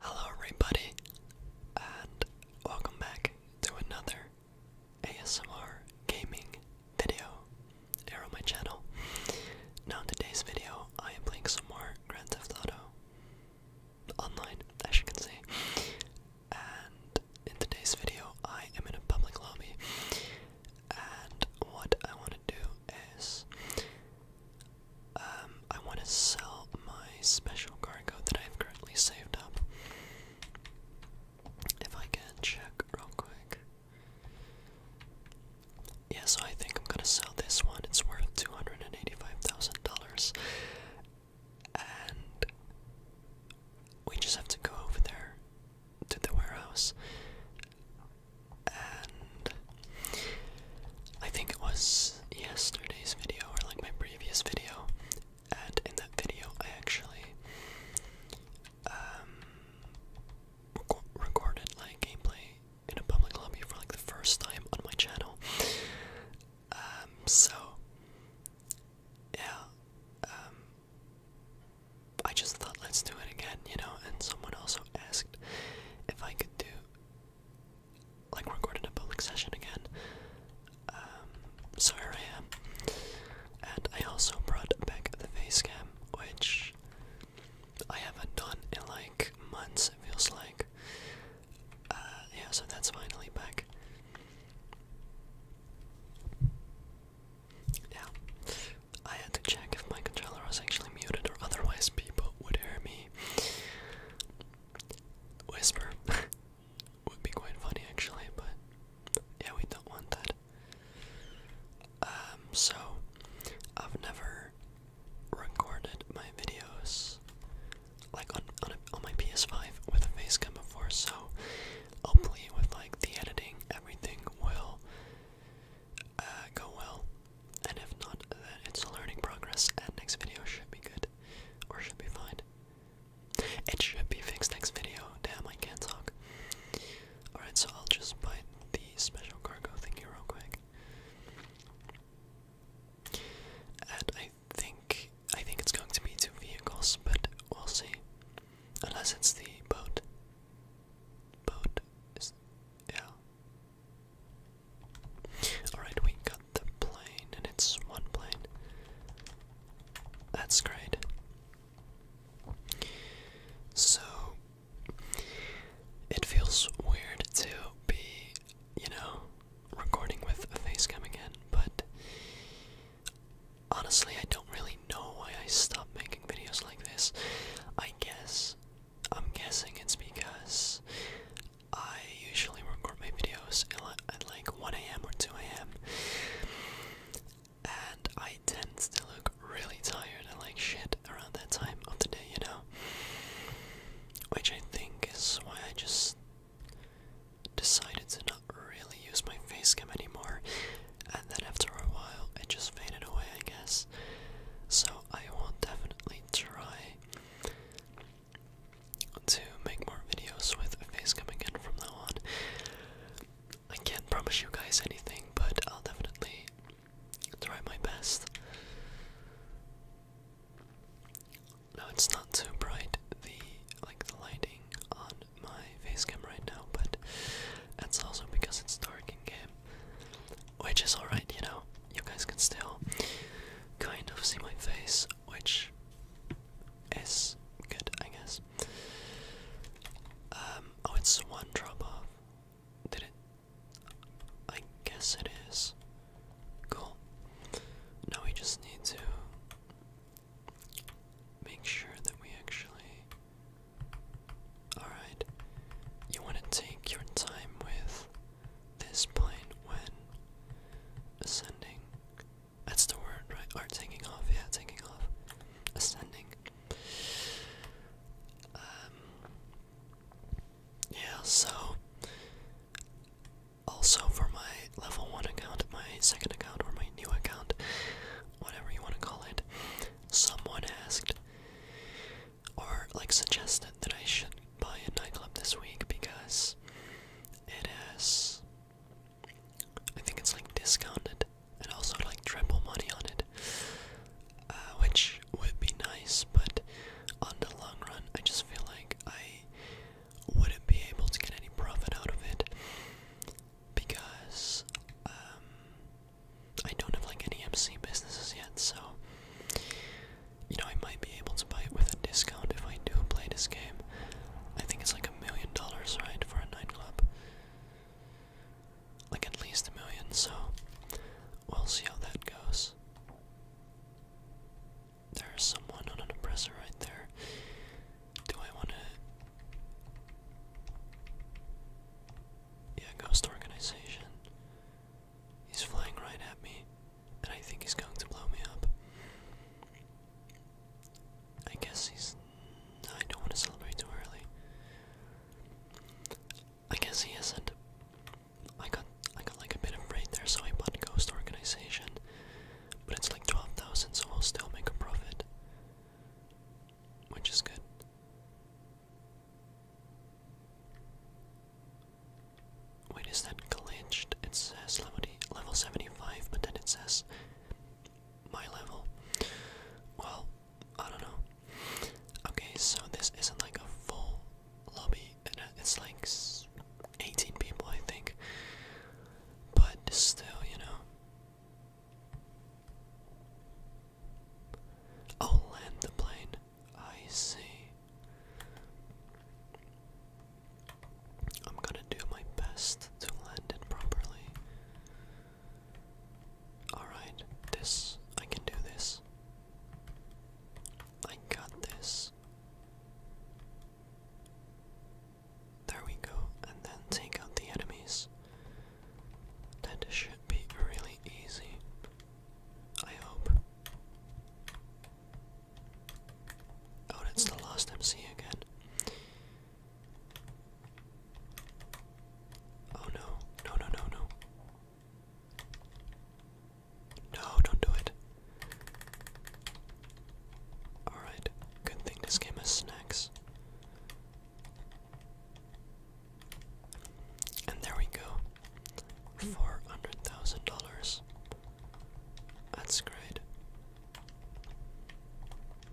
Hello, everybody, and welcome back to another ASMR gaming video here my channel. Now, in today's video, I am playing some more Grand Theft Auto online, as you can see. And in today's video, I am in a public lobby, and what I want to do is um, I want to sell my special cargo that I've currently saved up. If I can check real quick. Yeah, so I think I'm gonna sell this one. It's worth two hundred and eighty-five thousand dollars, and we just have to go over there to the warehouse and I think it was yesterday's video or like my previous video, and in that video I actually um, recorded like gameplay in a public lobby for like the first time on my channel. Um, so yeah, um, I just thought let's do it again, you know, and someone also asked if I could do like recording a public session again. Um, so here I am. And I also brought back the face cam, which I haven't done in like months, it feels like. Uh, yeah, so that's finally back. Yeah, I had to check if my controller was actually muted or otherwise people would hear me whisper. Would be quite funny actually, but yeah, we don't want that. Um, so I've never recorded my videos like on on my PS5 with a facecam before, so hopefully with like the editing, everything will uh, go well. And if not, then it's a learning progress, and next video should be good, or should be fine. It should be fixed next video. Damn, I can't talk. Alright, so I'll just buy the special cargo thingy real quick. And I think I think it's going to be two vehicles, but we'll see. Unless it's the boat. Boat yeah. Alright, we got the plane, and it's one plane. That's great. So, it feels weird to be, you know, recording with a face again, but honestly, I don't really know why I stopped making videos like this. I guess I'm guessing it's because I usually record my videos at like 1am or 2am and I tend to look really tired and like shit around that time of the day, you know? Which I think is why I just decided to not really use my face cam anymore and then after a while it just faded away I guess. So I will definitely try to make more videos with a face coming from now on. I can't promise you guys anything, but I'll definitely try my best. Now it's not too bright the like the lighting on my face right now, but that's also because it's dark in game which is alright, you know. You guys can still kind of see my face, which is good, I guess. Um, oh, it's one drop off. Did it? I guess it is. Cool. Now we just need to make sure that we actually Alright, you want to take your time with this plane when ascending. That's the word, right? Or taking off, yeah, taking off. Ascending. Um, yeah, so. Also, for my level 1 account, my second account, or my new account, whatever you want to call it, someone asked or like suggested that I should buy a nightclub this week because it is I think it's like discounted and also like triple money on it, uh, which would be nice, but on the long run, I just feel like I wouldn't be able to get any profit out of it because um, I don't have like any MC businesses yet, so you know I might be able to buy it with a discount if I do play this game. I think it's like a million dollars, right, for a nightclub. Like at least a million, so we'll see how that goes. There's someone on an oppressor right there. Do I wanna yeah, ghost organization. He's flying right at me, and I think he's going to blow me up. I guess he's. I don't want to celebrate too early. I guess he isn't. I got I got like a bit of break there, so I bought Ghost Organization, but it's like twelve thousand, so I'll still make a profit, which is good. Wait, is that glitched? It says level 75, but then it says my level. Well, I don't know. Okay, so this isn't like a full lobby, uh, it's like 18 people, I think. But still, you know, Oh, land the plane. I see. I'm gonna do my best to land it properly. Alright, this. I can do this. I got this. There we go, and then take out the enemies. That should be really easy. I hope. Oh, it's the last MC again. Oh no, no, no, no, no. No, don't do it. Alright, good thing this game has snacks. And there we go. Four hundred thousand dollars. That's great.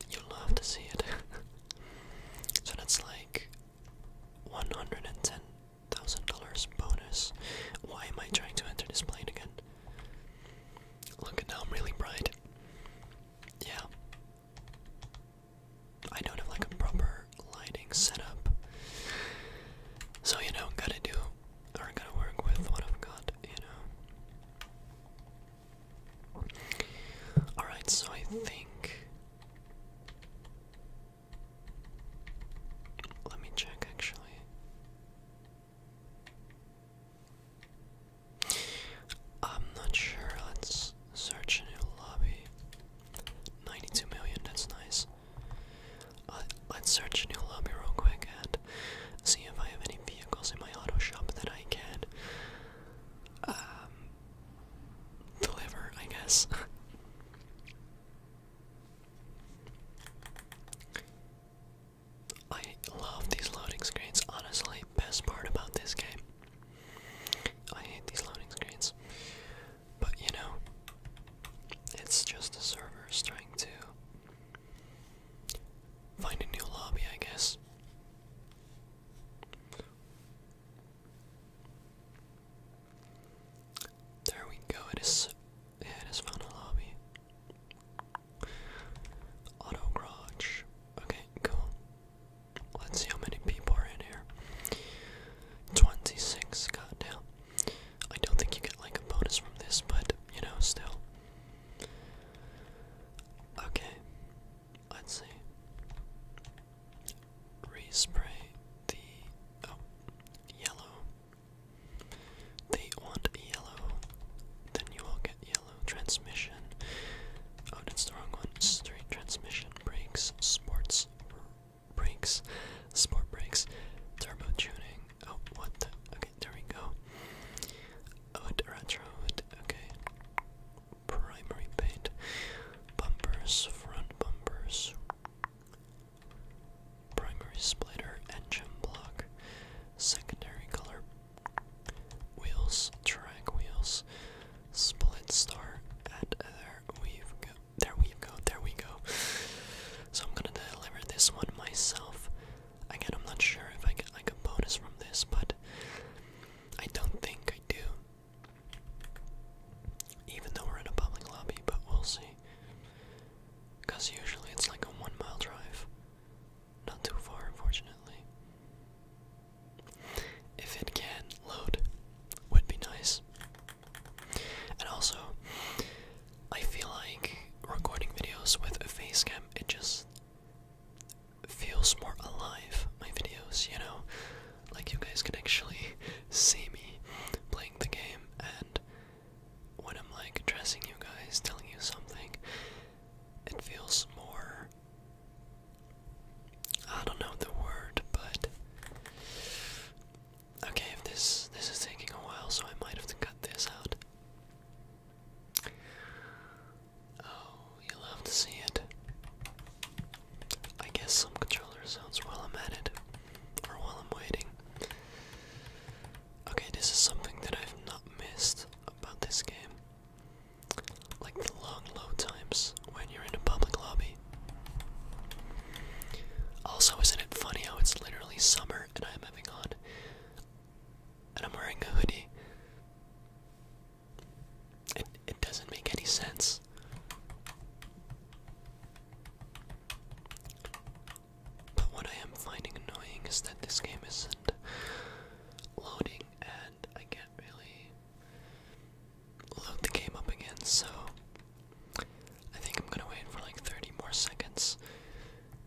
You'll love to see it. so that's like one hundred and ten thousand dollars bonus. Why am I trying to enter this plane again? Look at now I'm really bright. Yeah. I don't have like a proper lighting setup. So, you know, gotta do or gotta work with what I've got, you know. Alright, so I think. Let me check actually. I'm not sure. Let's search a new lobby. 92 million, that's nice. Uh, let's search a new lobby real quick and see if I have any vehicles in my auto shop that I can um, deliver, I guess. I love these loading screens, honestly. Best part about this game. I hate these loading screens. But you know, it's just the servers trying to find a new lobby, I guess. There we go, it is yeah, it has found a lobby. Auto garage. Okay, cool. Let's see how many people are in here. 26, goddamn. I don't think you get like a bonus from this, but you know, still. Okay, let's see. Respray the. Oh, yellow. They want yellow, then you will get yellow transmission. Oh, that's the wrong one. Straight transmission, brakes, sports, brakes, sport brakes, turbo tuning. Oh, what Okay, there we go. Oat oh, retro, okay. Primary paint, bumpers, front bumpers, primary splitter, engine block, secondary color Wheels, track wheels, split star, there we go. There we go. There we go. So I'm gonna deliver this one myself. Again, I'm not sure if I get like a bonus from this, but I don't think I do. Even though we're in a public lobby, but we'll see. Cause usually it's like a one mile drive. Not too far, unfortunately. If it can load, would be nice. And also, I feel like recording videos with a face cam, it just feels more alive, my videos, you know? Like you guys can actually see me playing the game and when I'm like addressing you guys, telling you something, it feels more I don't know the word, but okay. If this this is taking a while, so I might have to cut this out. Oh, you'll have to see it. I guess some controller sounds while I'm at it, or while I'm waiting. Okay, this is something that I've not missed about this game like the long load times when you're in a public lobby. Also, isn't it funny how it's literally summer and I'm having on and I'm wearing a hoodie? It it doesn't make any sense. But what I am finding annoying is that this game isn't loading I can't really load the game up again, so I think I'm gonna wait for like 30 more seconds,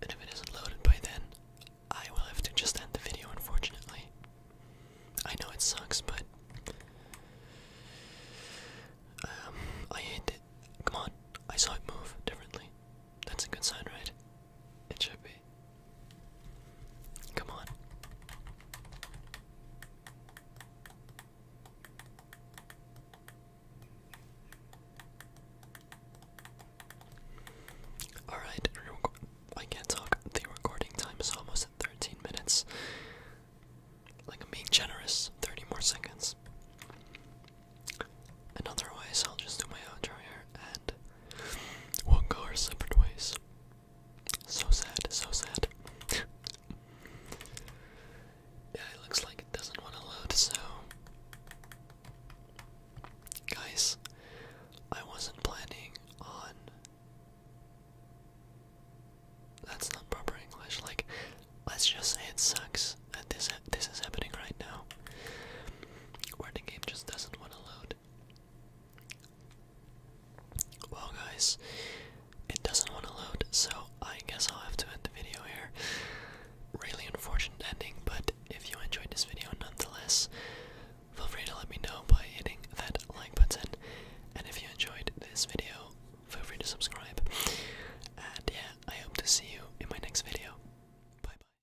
and if it isn't loaded by then, I will have to just end the video, unfortunately. I know it sucks, but um, I hate it. Come on, I saw it move differently. That's a good sign, right? It should be. Come on. Alright, I can't talk. The recording time is almost at 13 minutes. Like, I'm being generous. 30 more seconds. And otherwise, I'll just do my outro here and We'll go our separate ways. So sad, so sad. yeah, it looks like it doesn't want to load, so. Guys, I wasn't planning on. That's not proper English. Like, let's just say it sucks that this this is happening right now, the game just doesn't want to load. Well, guys, it doesn't want to load, so I guess I'll have to end the video here. Really unfortunate ending, but if you enjoyed this video nonetheless, feel free to let me know by hitting that like button. And if you enjoyed this video, feel free to subscribe. And yeah, I hope to see you in my next video. Bye bye.